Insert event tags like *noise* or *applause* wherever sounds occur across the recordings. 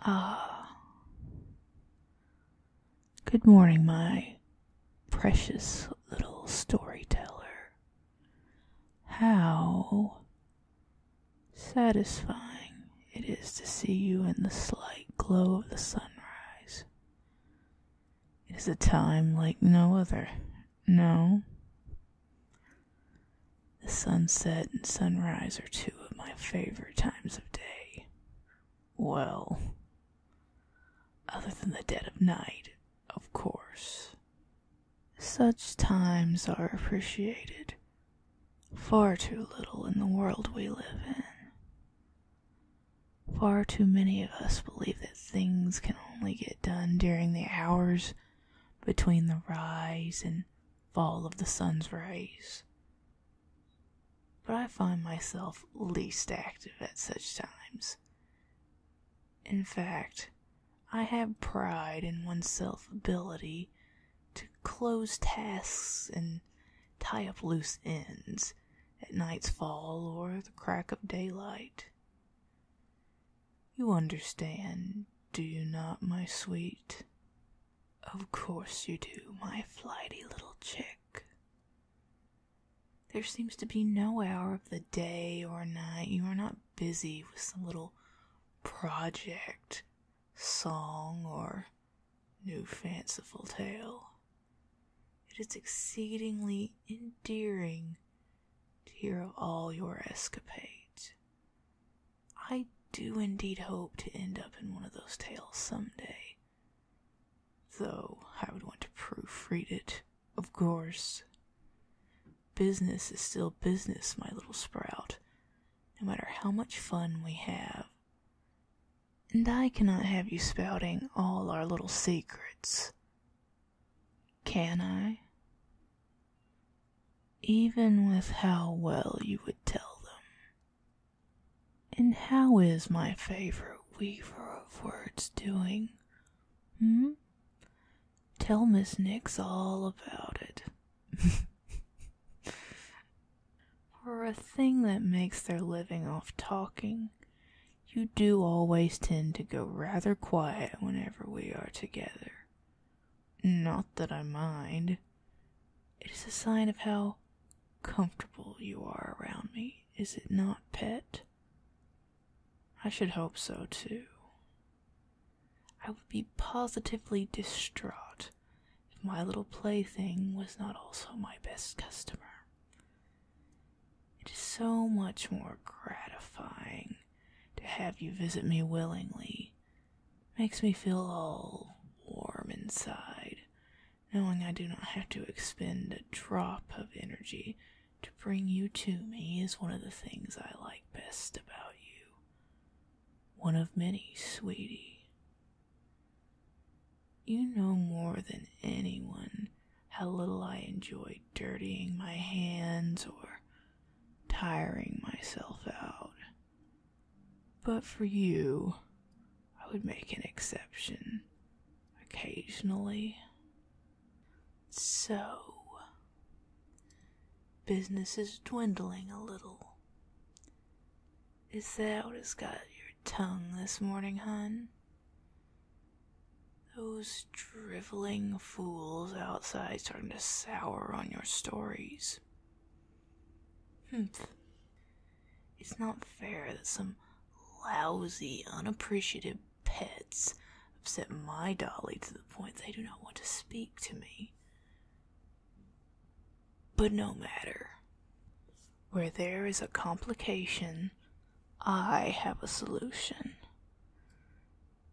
Ah. Good morning, my precious little storyteller. How satisfying it is to see you in the slight glow of the sunrise. It is a time like no other. No? The sunset and sunrise are two of my favorite times of day. Well, other than the dead of night, of course. Such times are appreciated far too little in the world we live in. Far too many of us believe that things can only get done during the hours between the rise and fall of the sun's rays. But I find myself least active at such times. In fact, I have pride in one's self ability to close tasks and tie up loose ends at night's fall or the crack of daylight. You understand, do you not, my sweet? Of course you do, my flighty little chick. There seems to be no hour of the day or night you are not busy with some little project, song, or new fanciful tale. It is exceedingly endearing to hear of all your escapades. I do indeed hope to end up in one of those tales someday. Though I would want to proofread it, of course. Business is still business, my little sprout, no matter how much fun we have. And I cannot have you spouting all our little secrets. Can I? even with how well you would tell them. And how is my favorite weaver of words doing? Hmm? Tell Miss Nix all about it. *laughs* For a thing that makes their living off talking, you do always tend to go rather quiet whenever we are together. Not that I mind. It is a sign of how comfortable you are around me, is it not, pet? I should hope so, too. I would be positively distraught if my little plaything was not also my best customer. It is so much more gratifying to have you visit me willingly makes me feel all warm inside, knowing I do not have to expend a drop of energy to bring you to me is one of the things I like best about you. One of many, sweetie. You know more than anyone how little I enjoy dirtying my hands or tiring myself out. But for you, I would make an exception occasionally. So, business is dwindling a little. Is that what has got your tongue this morning, hon? Those driveling fools outside starting to sour on your stories. Humph. It's not fair that some lousy, unappreciative pets upset my dolly to the point they do not want to speak to me. But no matter. Where there is a complication, I have a solution.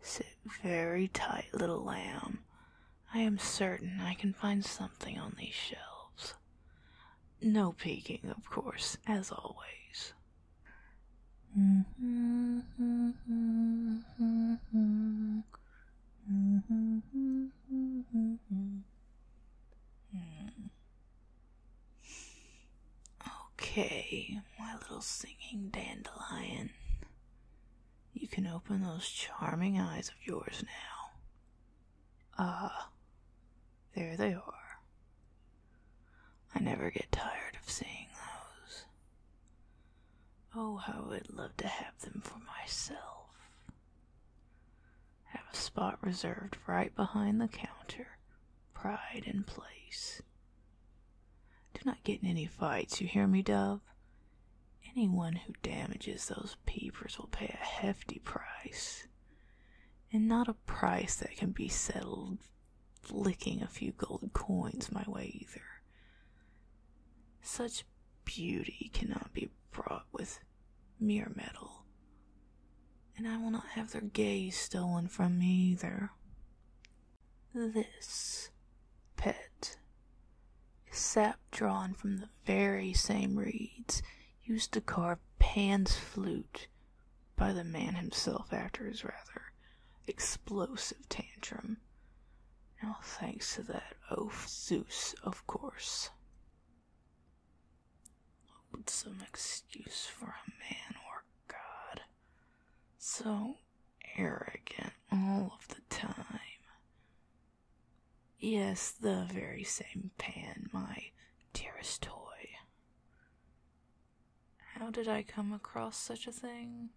Sit very tight, little lamb. I am certain I can find something on these shelves. No peeking, of course, as always. Okay my little singing dandelion. You can open those charming eyes of yours now. Ah, there they are. I never get tired of seeing those. Oh, how I would love to have them for myself. Have a spot reserved right behind the counter, pride in place. Do not get in any fights, you hear me, Dove? Anyone who damages those peepers will pay a hefty price, and not a price that can be settled flicking a few gold coins my way either. Such beauty cannot be bought with mere metal, and I will not have their gaze stolen from me either. This pet is sap drawn from the very same reeds used to carve Pan's flute by the man himself after his rather explosive tantrum. All thanks to that oath, Zeus, of course. Would some excuse for a man or God so arrogant all of the time. Yes, the very same pan, my dearest toy. How did I come across such a thing?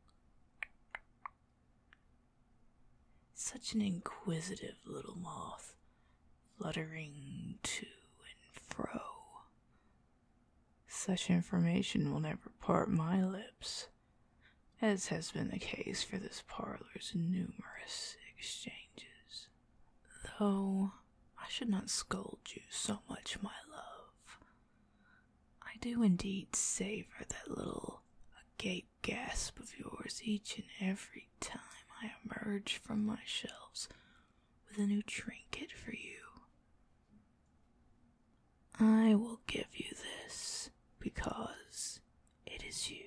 Such an inquisitive little moth, fluttering to and fro, such information will never part my lips, as has been the case for this parlor's numerous exchanges. Though I should not scold you so much, my love. I do indeed savor that little agape gasp of yours each and every time I emerge from my shelves with a new trinket for you. I will give you this because it is you.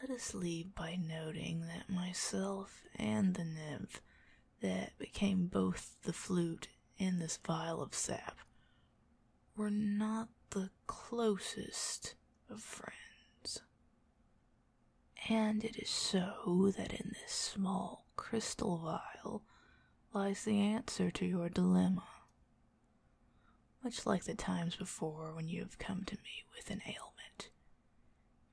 Let us leave by noting that myself and the nymph that became both the flute and this vial of sap were not the closest of friends. And it is so that in this small crystal vial lies the answer to your dilemma. Much like the times before when you have come to me with an ailment,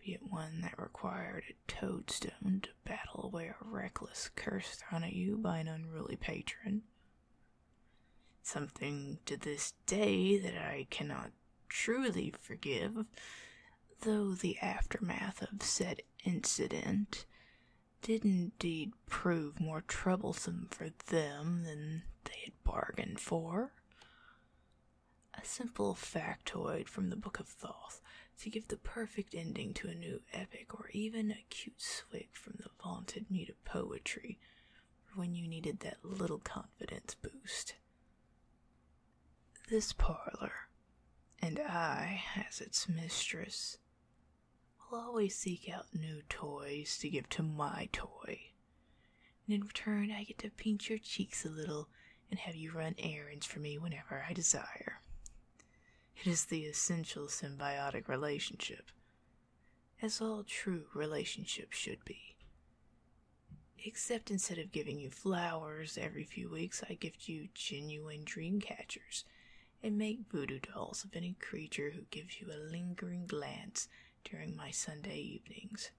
be it one that required a toadstone to battle away a reckless curse thrown at you by an unruly patron. Something to this day that I cannot truly forgive, though the aftermath of said incident did indeed prove more troublesome for them than they had bargained for. A simple factoid from the Book of Thoth to give the perfect ending to a new epic or even a cute swig from the vaunted mute of poetry when you needed that little confidence boost. This parlor, and I as its mistress, will always seek out new toys to give to my toy. And in return, I get to pinch your cheeks a little and have you run errands for me whenever I desire. It is the essential symbiotic relationship, as all true relationships should be. Except instead of giving you flowers every few weeks, I gift you genuine dream catchers and make voodoo dolls of any creature who gives you a lingering glance during my Sunday evenings.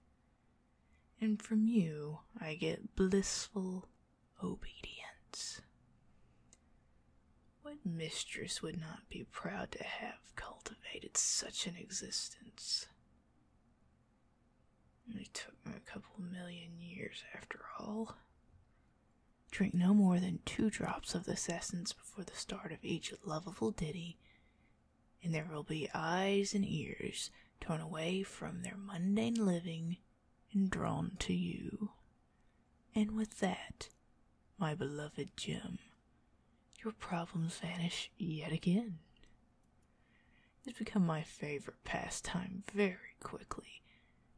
And from you, I get blissful obedience. What mistress would not be proud to have cultivated such an existence? It took a couple million years after all. Drink no more than two drops of this essence before the start of each lovable ditty, and there will be eyes and ears torn away from their mundane living and drawn to you. And with that, my beloved Jim, your problems vanish yet again. It's become my favorite pastime very quickly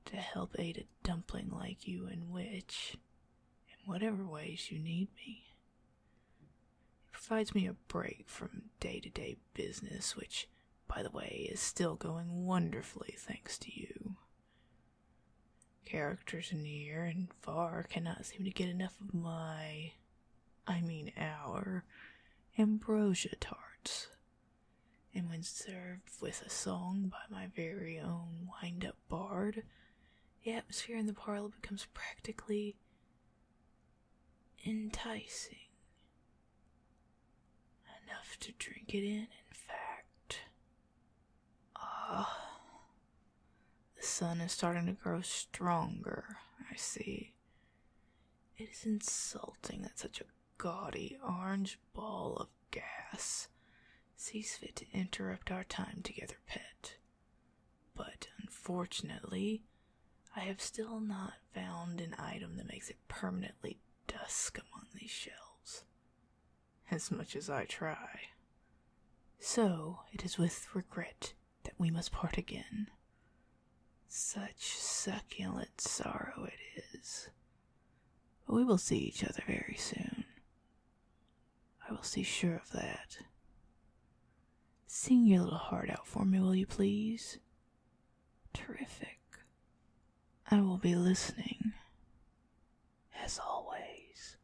to help aid a dumpling like you in which, in whatever ways you need me. It provides me a break from day to day business, which, by the way, is still going wonderfully thanks to you. Characters near and far cannot seem to get enough of my I mean our, ambrosia tarts, and when served with a song by my very own wind up bard, the atmosphere in the parlor becomes practically enticing. Enough to drink it in, in fact. Ah, the sun is starting to grow stronger, I see. It is insulting that such a gaudy orange ball of gas sees fit to interrupt our time together, pet. But unfortunately, I have still not found an item that makes it permanently dusk among these shelves. As much as I try. So it is with regret that we must part again. Such succulent sorrow it is. But we will see each other very soon. I will see sure of that. Sing your little heart out for me, will you please? Terrific. I will be listening, as always.